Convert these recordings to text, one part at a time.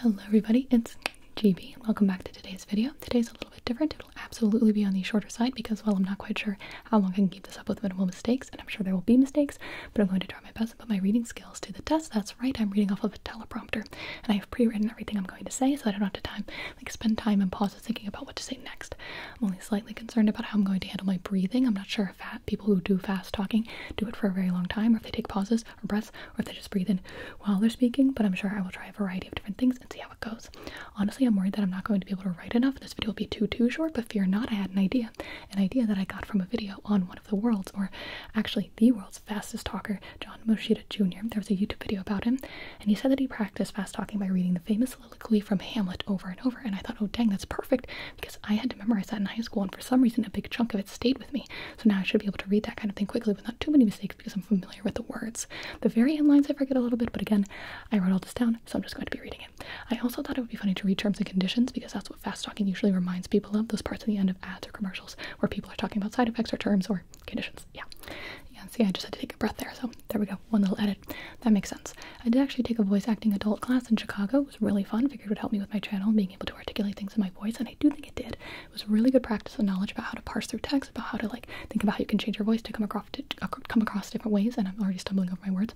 Hello everybody, it's GB welcome back to today's video. Today's a little bit different. It'll absolutely be on the shorter side because well I'm not quite sure how long I can keep this up with minimal mistakes, and I'm sure there will be mistakes, but I'm going to try my best and put my reading skills to the test. That's right, I'm reading off of a teleprompter and I have pre-written everything I'm going to say so I don't have to time like spend time and pause and thinking about what to say next. I'm only slightly concerned about how I'm going to handle my breathing. I'm not sure fat people who do fast talking do it for a very long time, or if they take pauses or breaths, or if they just breathe in while they're speaking. But I'm sure I will try a variety of different things and see how it goes. Honestly, I'm worried that I'm not going to be able to write enough. This video will be too too short, but fear not, I had an idea, an idea that I got from a video on one of the world's, or actually the world's fastest talker, John Moschitta Jr. There was a YouTube video about him, and he said that he practiced fast talking by reading the famous soliloquy from Hamlet over and over. And I thought, oh dang, that's perfect because I had to memorize that in high school, and for some reason, a big chunk of it stayed with me. So now I should be able to read that kind of thing quickly with not too many mistakes because I'm familiar with the words. The very end lines I forget a little bit, but again, I wrote all this down, so I'm just going to be reading it. I also thought it would be funny to read terms and conditions because that's what fast talking usually reminds people of, those parts at the end of ads or commercials where people are talking about side effects or terms or conditions. Yeah. Yeah, see, I just had to take a breath there, so there we go. One little edit. That makes sense. I did actually take a voice acting adult class in Chicago. It was really fun. Figured it would help me with my channel, being able to articulate things in my voice, and I do think it did. It was really good practice and knowledge about how to parse through text, about how to like think about how you can change your voice to come across to, uh, come across different ways. And I'm already stumbling over my words.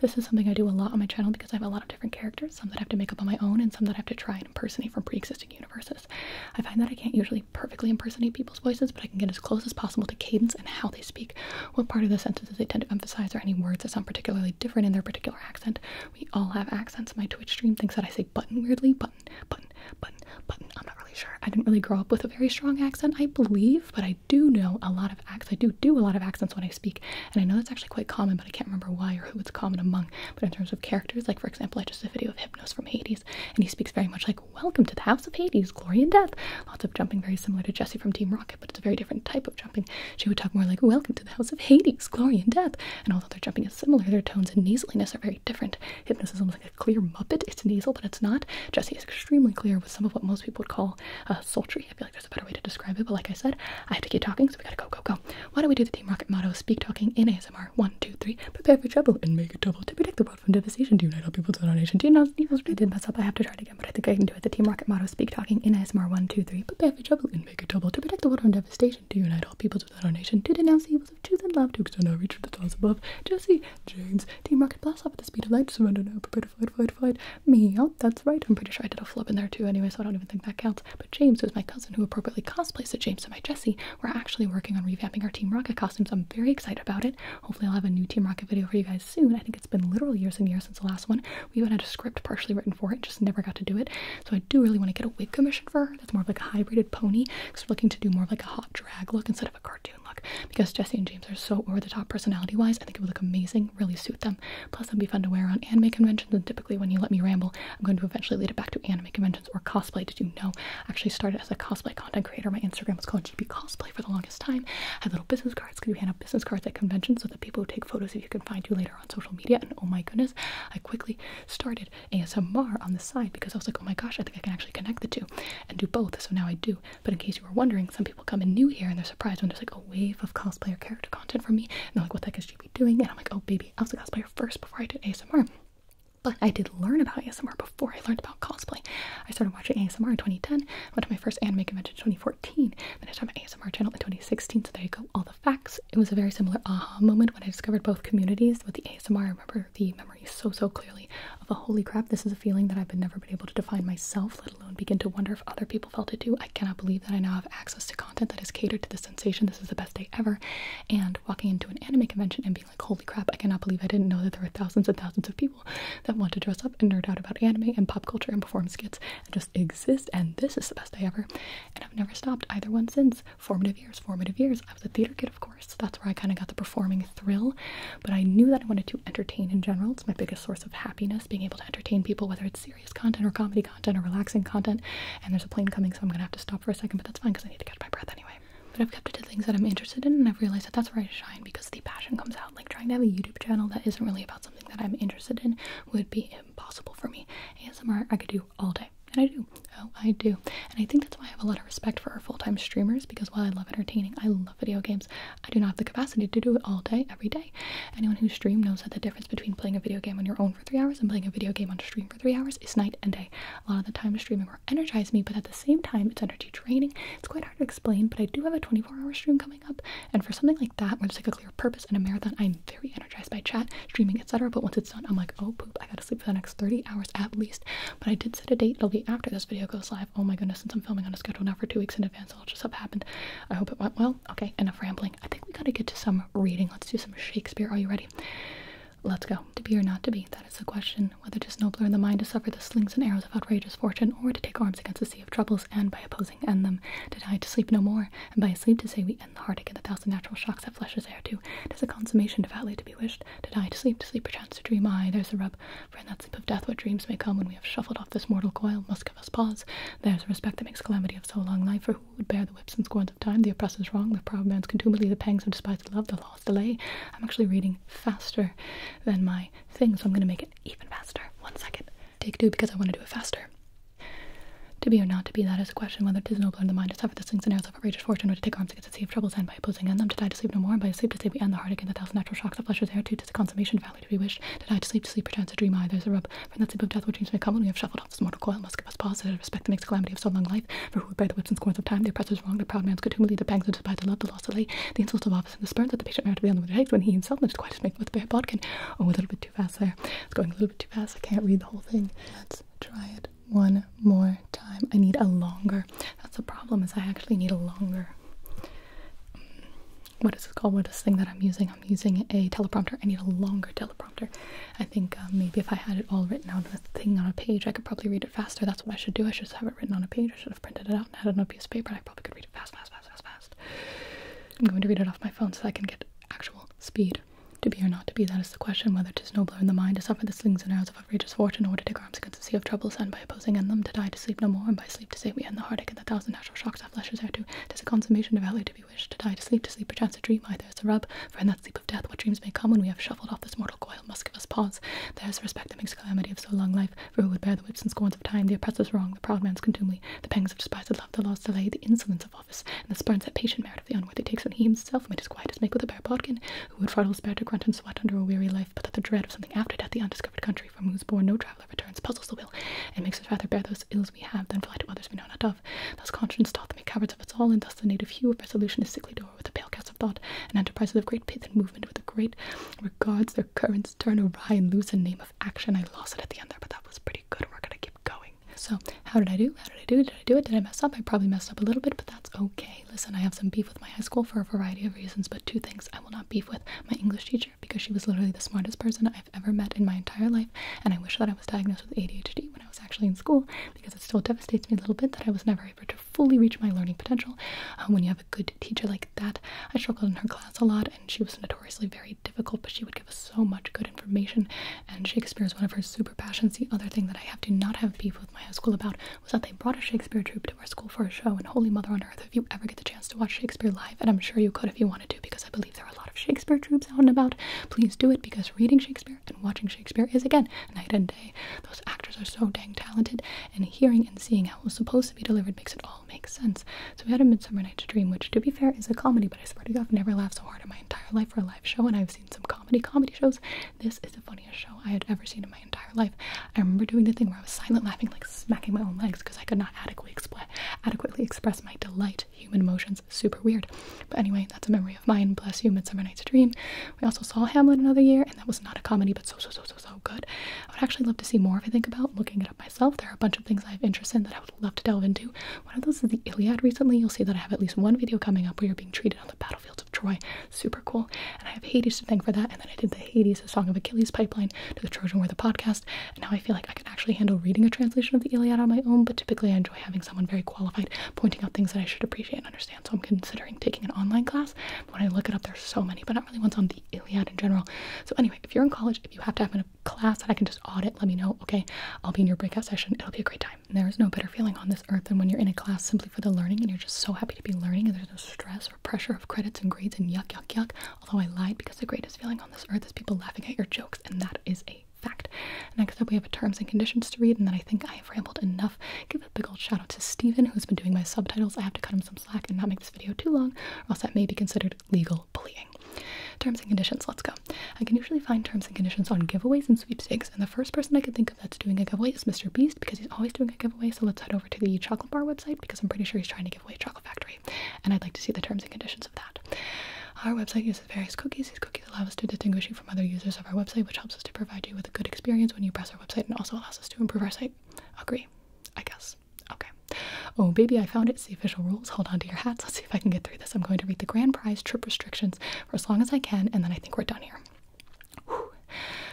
This is something I do a lot on my channel because I have a lot of different characters, some that I have to make up on my own, and some that I have to try and impersonate from pre-existing universes. I find that I can't usually perfectly impersonate people's voices, but I can get as close as possible to cadence and how they speak, what part of the sentences they tend to emphasize, or any words that sound particularly different in their particular accent, we all have accents. My Twitch stream thinks that I say button weirdly. Button, button, button, button. I'm not really sure. I didn't really grow up with a very strong accent, I believe, but I do know a lot of accents. I do do a lot of accents when I speak, and I know that's actually quite common, but I can't remember why or who it's common among. But in terms of characters, like for example, I just did a video of Hypnos from Hades, and he speaks very much like, Welcome to the House of Hades, Glory and Death. Lots of jumping, very similar to Jesse from Team Rocket but it's a very different type of jumping. She would talk more like, Welcome to the house of Hades, glory and death. And although their jumping is similar, their tones and nasaliness are very different. Hypnotism is like a clear muppet. It's nasal, but it's not. Jesse is extremely clear with some of what most people would call a sultry. I feel like there's a better way to describe it, but like I said, I have to keep talking, so we gotta go, go, go. Why don't we do the Team Rocket motto, speak talking in ASMR? One, two, three, prepare for trouble and make it double to protect the world from devastation, to unite all people to our nation, to announce the news. I did mess up, I have to try it again, but I think I can do it. The Team Rocket motto, speak talking in ASMR. One, two, three, prepare for trouble make Baker double to protect the water from devastation, to unite all peoples within our nation, to denounce the evils of truth and love, to extend our reach to the stars above. Jesse, James, Team Rocket blast off at the speed of light, surrender now, prepare to fight, fight, fight. Me, oh, that's right. I'm pretty sure I did a flop in there too anyway, so I don't even think that counts. But James, who's my cousin who appropriately cosplays as James and my Jesse, we're actually working on revamping our Team Rocket costumes. I'm very excited about it. Hopefully I'll have a new Team Rocket video for you guys soon. I think it's been literal years and years since the last one. We even had a script partially written for it, just never got to do it. So I do really want to get a wig commission for her. That's more of like a hybrided pony because we're looking to do more of like a hot drag look instead of a cartoon look because Jesse and James are so over the top personality wise. I think it would look amazing, really suit them. Plus, it'd be fun to wear on anime conventions. And typically, when you let me ramble, I'm going to eventually lead it back to anime conventions or cosplay. Did you know? I actually started as a cosplay content creator. My Instagram was called GB Cosplay for the longest time. I had little business cards because we hand out business cards at conventions so that people who take photos of you you can find you later on social media. And oh my goodness, I quickly started ASMR on the side because I was like, oh my gosh, I think I can actually connect the two and do both. So now I do. But in case you were wondering, some people come in new here and they're surprised when there's like a wave of cosplayer character content from me. And they're like, what the heck is GB doing? And I'm like, oh baby, I was a cosplayer first before I did ASMR. But I did learn about ASMR before I learned about cosplay. I started watching ASMR in 2010, went to my first anime convention in 2014, then I started our channel in 2016, so there you go, all the facts. It was a very similar aha moment when I discovered both communities with the ASMR. I remember the memory so, so clearly of a oh, holy crap, this is a feeling that I've never been able to define myself, let alone begin to wonder if other people felt it too. I cannot believe that I now have access to content that is catered to this sensation. This is the best day ever. And walking into an anime convention and being like, holy crap, I cannot believe I didn't know that there were thousands and thousands of people that want to dress up and nerd out about anime and pop culture and perform skits and just exist. And this is the best day ever. And I've never stopped either one since. Formative years, formative years. I was a theater kid, of course. So that's where I kind of got the performing thrill. But I knew that I wanted to entertain in general. It's my biggest source of happiness, being able to entertain people, whether it's serious content or comedy content or relaxing content. And there's a plane coming, so I'm going to have to stop for a second, but that's fine because I need to catch my breath anyway. But I've kept it to things that I'm interested in, and I've realized that that's where I shine because the passion comes out. Like trying to have a YouTube channel that isn't really about something that I'm interested in would be impossible for me. ASMR I could do all day. And I do. Oh, I do. And I think that's why I have a lot of respect for our full-time streamers because while I love entertaining, I love video games. I do not have the capacity to do it all day, every day. Anyone who streams knows that the difference between playing a video game on your own for three hours and playing a video game on stream for three hours is night and day. A lot of the time streaming will energize me, but at the same time it's energy draining. It's quite hard to explain, but I do have a 24-hour stream coming up, and for something like that, when there's like a clear purpose and a marathon, I'm very energized by chat, streaming, etc. But once it's done, I'm like, oh poop, I gotta sleep for the next 30 hours at least. But I did set a date, it'll be after this video goes live. Oh my goodness, since I'm filming on a schedule now for two weeks in advance, i will just have happened. I hope it went well. Okay, enough rambling. I think we gotta get to some reading. Let's do some Shakespeare. Are you ready? Let's go. To be or not to be, that is the question. Whether to nobler in the mind to suffer the slings and arrows of outrageous fortune, or to take arms against a sea of troubles, and by opposing and them denied to sleep no more. And by a sleep to say we end the heartache and the thousand natural shocks that flesh is heir to. Tis a consummation devoutly to be wished, to die to sleep, to sleep perchance to dream. Aye, there's the rub, for in that sleep of death what dreams may come when we have shuffled off this mortal coil must give us pause. There's a respect that makes calamity of so long life, for who would bear the whips and scorns of time, the oppressor's wrong, the proud man's contumely, the pangs of despised love, the law's delay. I'm actually reading faster than my thing, so I'm going to make it even faster. One second take two because I want to do it faster. To be or not to be, that is a question whether it is nobler in the mind to suffer the slings and arrows of outrageous fortune, or to take arms against a sea of troubles, and by opposing end them, to die to sleep no more, and by sleep to sleep we end the heart again, the thousand natural shocks of flesh there, too, to Tis the consummation valley to be wished, to die to sleep, to sleep perchance, to dream eye, there's a rub, from that sleep of death which dreams may come, when we have shuffled off this mortal coil, must give us pause, to respect the next calamity of so long life, for who would bear the whips and scorns of time, the oppressor's wrong, the proud man's contumely, the pangs of despite, the love, the loss of lay, the insults of office the sperm that the patient to be on the eggs when he himself managed quite as make with the bodkin. Oh, a little bit too fast there. It's going a little bit too fast. I can't read the whole thing. Let's try it one more time. I need a longer. That's the problem is I actually need a longer. Mm. What is this called? What is this thing that I'm using? I'm using a teleprompter. I need a longer teleprompter. I think uh, maybe if I had it all written out on a thing on a page, I could probably read it faster. That's what I should do. I should have it written on a page. I should have printed it out and had it on paper. I probably could read it fast, fast, fast, fast, fast. I'm going to read it off my phone so I can get actual speed. To be or not to be, that is the question, whether 'tis nobler in the mind to suffer the slings and arrows of outrageous fortune, or to take arms against the sea of troubles, and by opposing end them, to die to sleep no more, and by sleep to save we end the heartache and the thousand natural shocks our flesh is heir to. 'Tis a consummation of to be wished, to die to sleep, to sleep perchance to dream, either there's a rub, for in that sleep of death what dreams may come when we have shuffled off this mortal coil must give us pause. There is a respect that makes calamity of so long life, for who would bear the whips and scorns of time, the oppressor's wrong, the proud man's contumely, the pangs of despised love, the lost delay, the insolence of office, and the spurns that patient merit of the unworthy takes when he himself made his quietest make with a bare bodkin, who would fardel bear to grunt and sweat under a weary life, but that the dread of something after death, the undiscovered country from whose bourn no traveller returns, puzzles the will, and makes us rather bear those ills we have than fly to others we know not of. Thus conscience doth make cowards of us all, and thus the native hue of resolution is sickly door with the pale cast of thought, and enterprises of great pith and movement with a great regards currents turn awry and lose a name of action. I lost it at the end there, but that was pretty good. We're gonna keep going. So, how did I do? How did I do? Did I do it? Did I mess up? I probably messed up a little bit, but that's okay. Listen, I have some beef with my high school for a variety of reasons, but two things I will not beef with my English teacher because she was literally the smartest person I've ever met in my entire life, and I wish that I was diagnosed with ADHD when I was actually in school because it still devastates me a little bit that I was never able to fully reach my learning potential. Um, when you have good teacher like that. I struggled in her class a lot, and she was notoriously very difficult, but she would give us so much good information. And Shakespeare is one of her super passions. The other thing that I have to not have beef with my high school about was that they brought a Shakespeare troupe to our school for a show. And Holy Mother on Earth, if you ever get the chance to watch Shakespeare live, and I'm sure you could if you wanted to, because I believe there are a lot of Shakespeare troupes out and about, please do it because reading Shakespeare and watching Shakespeare is again night and day. Those actors are so dang talented, and hearing and seeing how it was supposed to be delivered makes it all makes sense. So we had a Midsummer Night's Dream, which to be fair is a comedy, but I swear to God, I've never laughed so hard in my entire life for a live show. And I've seen some comedy comedy shows. This is the funniest show I had ever seen in my entire life. I remember doing the thing where I was silent laughing, like smacking my own legs, because I could not adequately adequately express my delight. Human emotions, super weird. But anyway, that's a memory of mine. Bless you, Midsummer Night's Dream. We also saw Hamlet another year, and that was not a comedy, but so so so so good. I would actually love to see more if I think about looking it up myself. There are a bunch of things I have interest in that I would love to delve into. One of those is the Iliad recently. You'll see that I have at least one video coming up where you're being treated on the battlefields of Troy. Super cool. And I have Hades to thank for that. And then I did the Hades, the Song of Achilles pipeline to the Trojan War, the podcast. And now I feel like I can actually handle reading a translation of the Iliad on my own, but typically I enjoy having someone very qualified pointing out things that I should appreciate and understand. So I'm considering taking an online class. when I look it up, there's so many, but not really ones on the Iliad in general. So anyway, if you're in college, if you have to have a class that I can just audit, let me know. Okay, I'll be in your breakout session. It'll be a great time. there is no better feeling on this earth than when you're in a class simply for the learning and you're just so happy to be learning and there's no stress or pressure of credits and grades and yuck, yuck, yuck. Although I lied because the greatest feeling on this earth is people laughing at your jokes and that is a fact. Next up, we have terms and conditions to read, and then I think I have rambled enough. Give a big old shout out to Stephen, who's been doing my subtitles. I have to cut him some slack and not make this video too long, or else that may be considered legal bullying. Terms and conditions, let's go. I can usually find terms and conditions on giveaways and sweepstakes, and the first person I could think of that's doing a giveaway is Mr. Beast because he's always doing a giveaway. So let's head over to the chocolate bar website because I'm pretty sure he's trying to give away Chocolate Factory, and I'd like to see the terms and conditions of that. Our website uses various cookies. These cookies allow us to distinguish you from other users of our website, which helps us to provide you with a good experience when you browse our website and also allows us to improve our site. Agree, I guess. Okay. Oh, baby, I found it. See official rules. Hold on to your hats. Let's see if I can get through this. I'm going to read the grand prize trip restrictions for as long as I can, and then I think we're done here.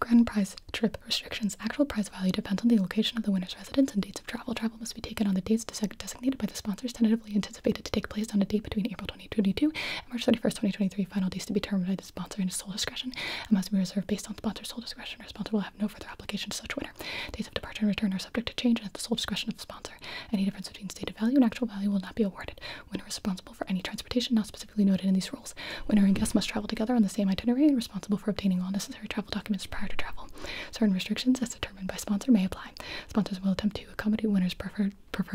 Grand prize trip restrictions. Actual prize value depends on the location of the winner's residence and dates of travel. Travel must be taken on the dates designated by the sponsors, tentatively anticipated to take place on a date between April 2022 and March 31st, 2023. Final dates to be determined by the sponsor in his sole discretion and must be reserved based on sponsor's sole discretion. Responsible have no further obligation to such winner. Dates of departure and return are subject to change and at the sole discretion of the sponsor. Any difference between stated value and actual value will not be awarded. Winner responsible for any transportation not specifically noted in these rules. Winner and guest must travel together on the same itinerary and responsible for obtaining all necessary travel documents prior to travel. Certain restrictions, as determined by sponsor, may apply. Sponsors will attempt to accommodate winner's preferred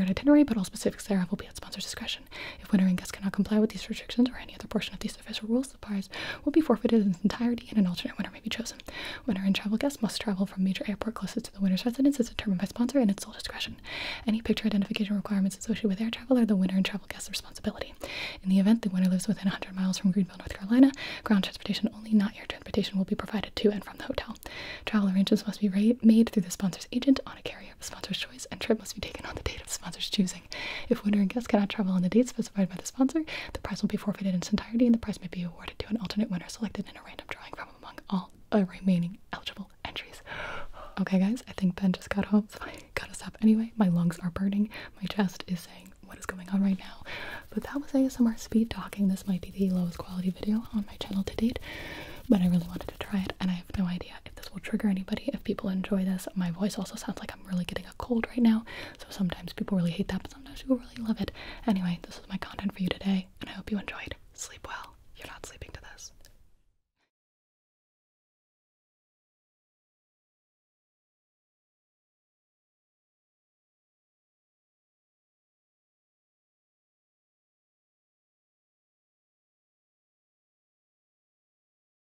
itinerary, but all specifics thereof will be at sponsor's discretion. If winner and guest cannot comply with these restrictions or any other portion of these official rules, will be forfeited in its entirety and an alternate winner may be chosen. Winner and travel guest must travel from major airport closest to the winner's residence as determined by sponsor and its sole discretion. Any picture identification requirements associated with air travel are the winner and travel guest's responsibility. In the event the winner lives within 100 miles from Greenville, North Carolina, ground transportation only, not air transportation, will be provided to and from the hotel. Travel arrangements must be made through the sponsor's agent on a carrier of sponsor's choice, and trip must be taken on the date of the sponsor's choosing. If winner and guest cannot travel on the dates specified by the sponsor, the prize will be forfeited in its entirety and the prize may be awarded to an alternate winner selected in a random drawing from among all remaining eligible entries. Okay, guys, I think Ben just got home, so I gotta stop anyway. My lungs are burning, my chest is saying what is going on right now. But that was ASMR speed talking. This might be the lowest quality video on my channel to date, but I really wanted to try it, and I have no idea if this will trigger anybody. If people enjoy this, my voice also sounds like I'm really getting a cold right now. So sometimes people really hate that, but sometimes people really love it. Anyway, this was my content for you today, and I hope you enjoyed. Sleep well. You're not sleeping to this.